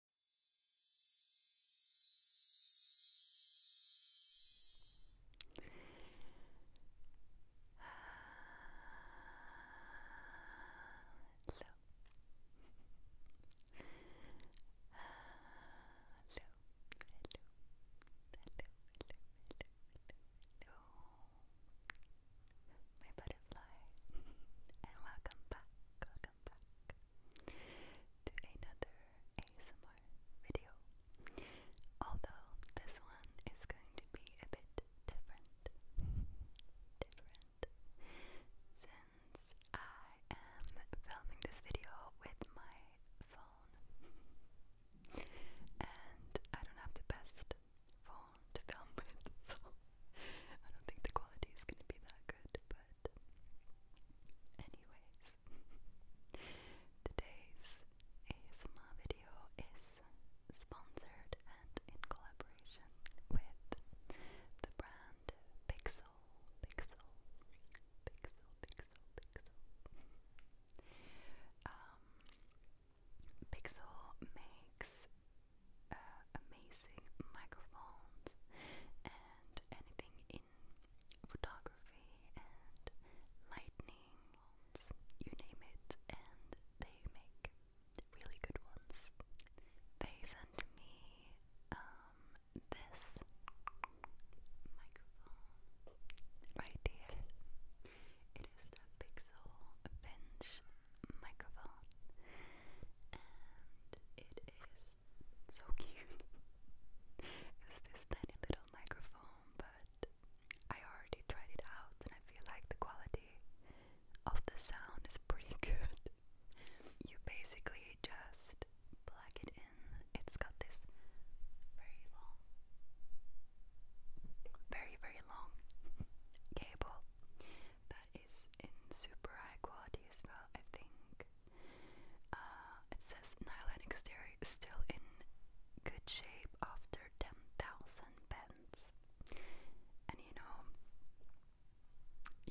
Hello. Hello. Hello. Hello. Hello. Hello. Hello. My butterfly. and welcome back welcome back to another ASMR video. Although this one is going to be a bit different, different, since I am filming this video with my phone, and I don't have the best phone to film with, I don't think the quality is going to be that good, but anyways, today's ASMR video is sponsored and in collaboration with the brand Pixel, Pixel, Pixel, Pixel, Pixel. Um, Pixel makes uh, amazing microphones and anything in photography and lightning, you name it, and they make really good ones. They sent me um, this microphone right here. It is the Pixel Bench microphone and it is so cute. it's this tiny little microphone, but I already tried it out and I feel like the quality of the sound is pretty good. You basically just plug it in. It's got this very long, very, very long cable that is in super high quality as well, I think. Uh, it says Nylatic Stereo still in good shape after 10,000 bends. And you know,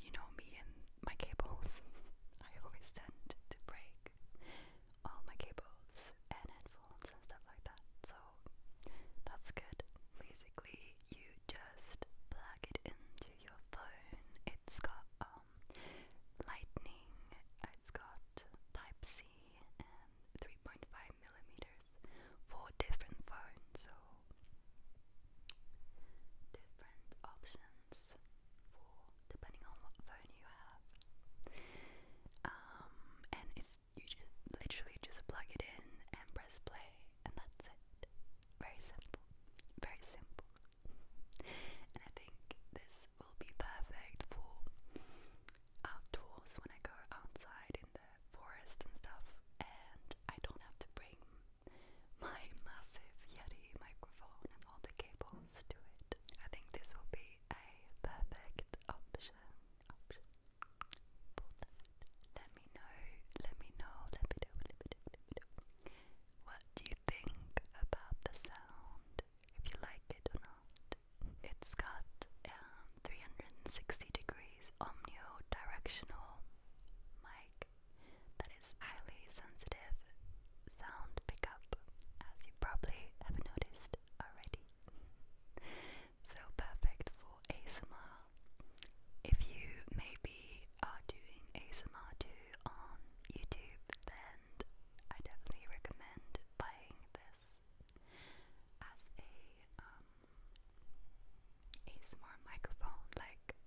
you know me and my cables. I always tend to break all my cables and headphones and stuff like that. So that's good. Basically, you just plug it into your phone. It's got um, lightning, it's got Type C, and 3.5 millimeters for different phones, so different options for depending on what phone you have. Um, and it's you just literally just plug it in and press play, and that's it. Very simple, very simple. and I think this will be perfect for outdoors when I go outside in the forest and stuff, and I don't have to bring my massive Yeti microphone and all the cables to it. I think this will be a perfect option. Option. Let me know, let me know, let me know, What do you think about the sound? If you like it or not. It's got um, 360 degrees omnidirectional mic that is highly sensitive sound pickup, as you probably have noticed already. So perfect for ASMR. If you maybe are doing ASMR too on YouTube, then I definitely recommend buying this as a um, ASMR microphone. Like,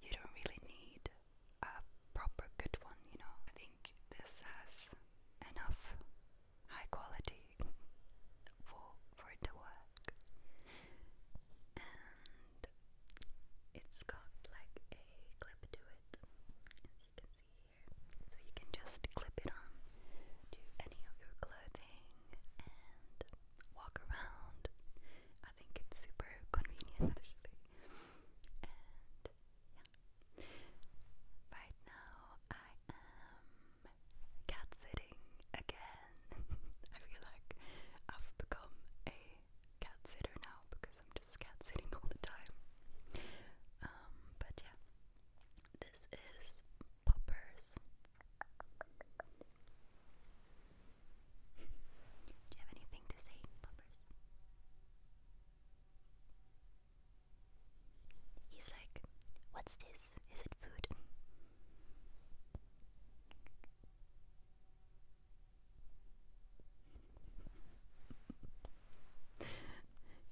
you don't really need a proper good one, you know. I think this has enough high quality for for it to work. And it's got like a clip to it, as you can see here. So you can just clip it on to any of your clothing and walk around. I think it's super convenient, Yeah. Right now I am cat sitting again. I feel like I've become a cat sitter now because I'm just cat sitting all the time. Um, but yeah. This is poppers. Do you have anything to say, poppers? He's like, What's this? Is it food?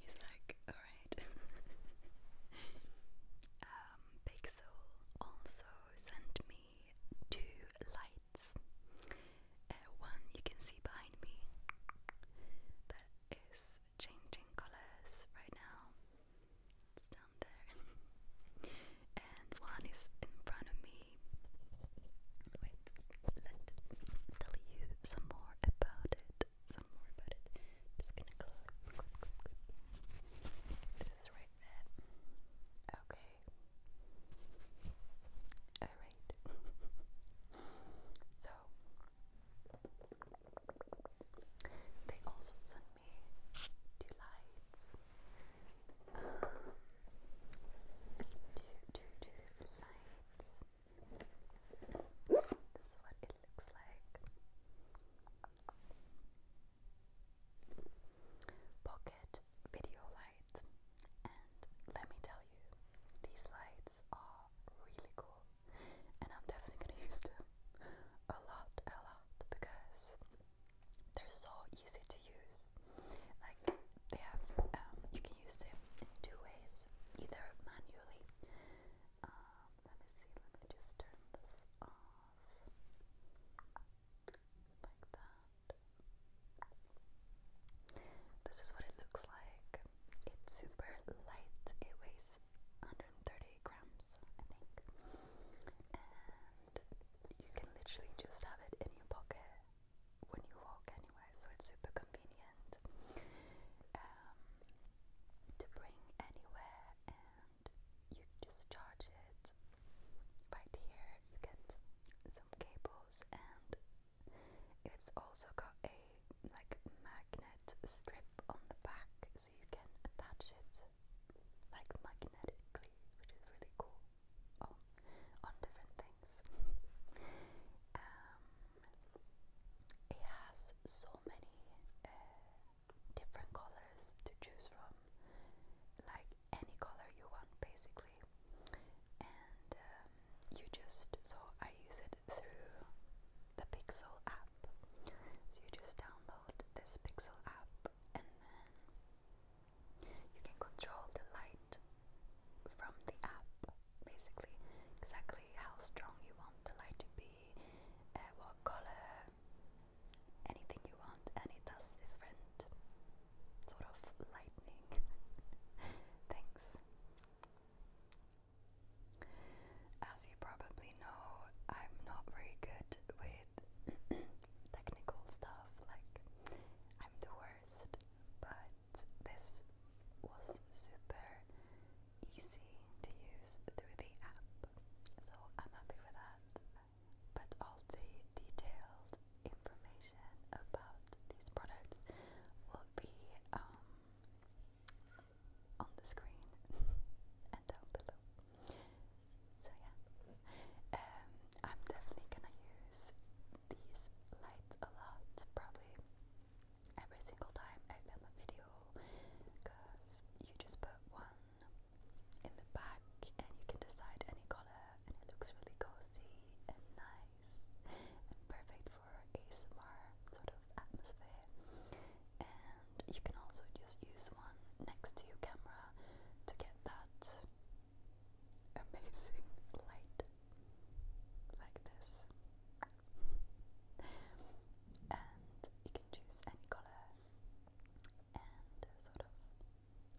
He's like, alright. Um, Pixel also sent me two lights. Uh, one you can see behind me is changing colors right now. It's down there. and one is in front of me. Wait, let me tell you some more about it. Some more about it. Just gonna clip, clip, right there. Okay. Alright. so they also send me two lights. two, two, two lights. This is what it looks like. Pocket video light let me tell you, these lights are really cool. And I'm definitely gonna use them a lot, a lot, because they're so easy to use. Like they have, um, you can use them in two ways, either manually. Um, let me see. Let me just turn this off like that. This is what it looks like. It's super light. It weighs 130 grams, I think. And you can literally just have it in your pocket when you walk anywhere. so it's super convenient um, to bring anywhere and you just charge it right here. You get some cables and it's also got a like magnet strip on the back so you can attach it like magnetically, which is really cool. on different things. Um, it has so many uh, different colors to choose from. Like any color you want basically and um, you just so I use it through the Pixel app so you just download this Pixel app and then you can control the light from the app basically exactly how strong you want the light to be uh, what color anything you want and it does different sort of lightning things. As you probably know, I'm not very good with technical stuff, like, I'm the worst, but this was super easy to use through the app, so I'm happy with that but all the detailed information about these products will be um, on the screen and down below. So yeah, um, I'm definitely gonna use these lights a lot, probably every single time I film a video, because you just put one in the back and you can decide any color and it looks really cozy and nice and perfect for ASMR sort of atmosphere. And you can also just use one next to your camera to get that amazing light like this. and you can choose any color and sort of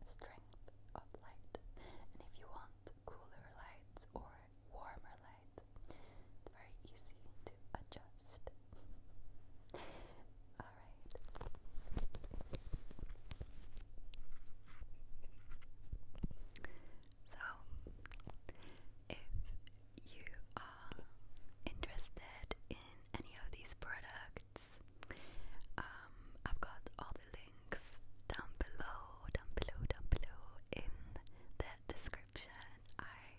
strength of light. And if you want cooler lights or warmer light, it's very easy to adjust. Alright. So, if you are interested in any of these products, um, I've got all the links down below, down below, down below in the description. I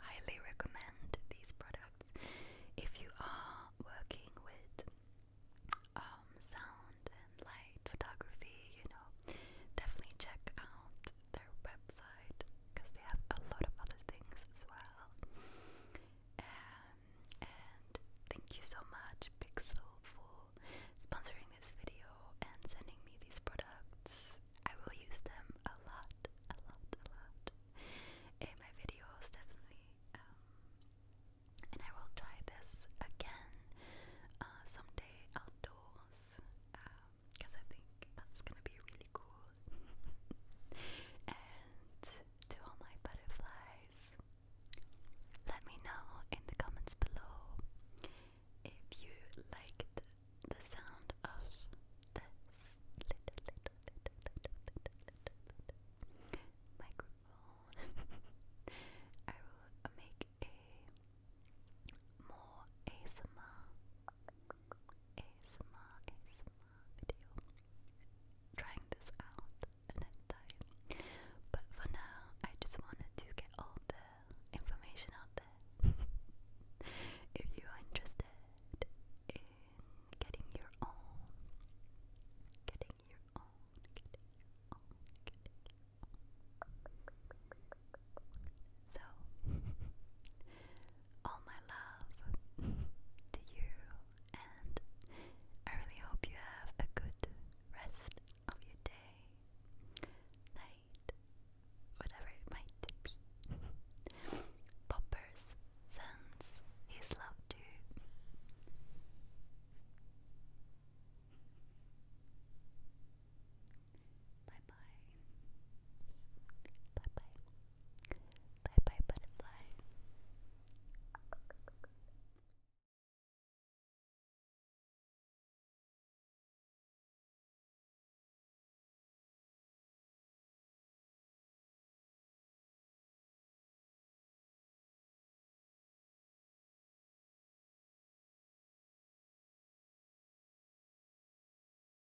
highly recommend these products if you are working with um, sound and light photography. You know, definitely check out their website because they have a lot of other things as well and thank you so much, Pixel, for sponsoring this video and sending me these products. I will use them a lot, a lot, a lot in my videos, definitely. Um, and I will try this again uh, someday outdoors because um, I think that's gonna be really cool. and to all my butterflies. Let me know in the comments below if you liked the sound of this little, little, little, little, little, little, little microphone. I will make a more ASMR, ASMR, ASMR video trying this out another time. But for now, I just wanted to get all the information out there. if you are interested in getting your own, getting your own, getting your own. So, all my love to you, and I really hope you have a good rest of your day, night, whatever it might be. Poppers sends his love to. Bye bye. Bye bye. Bye bye, butterfly.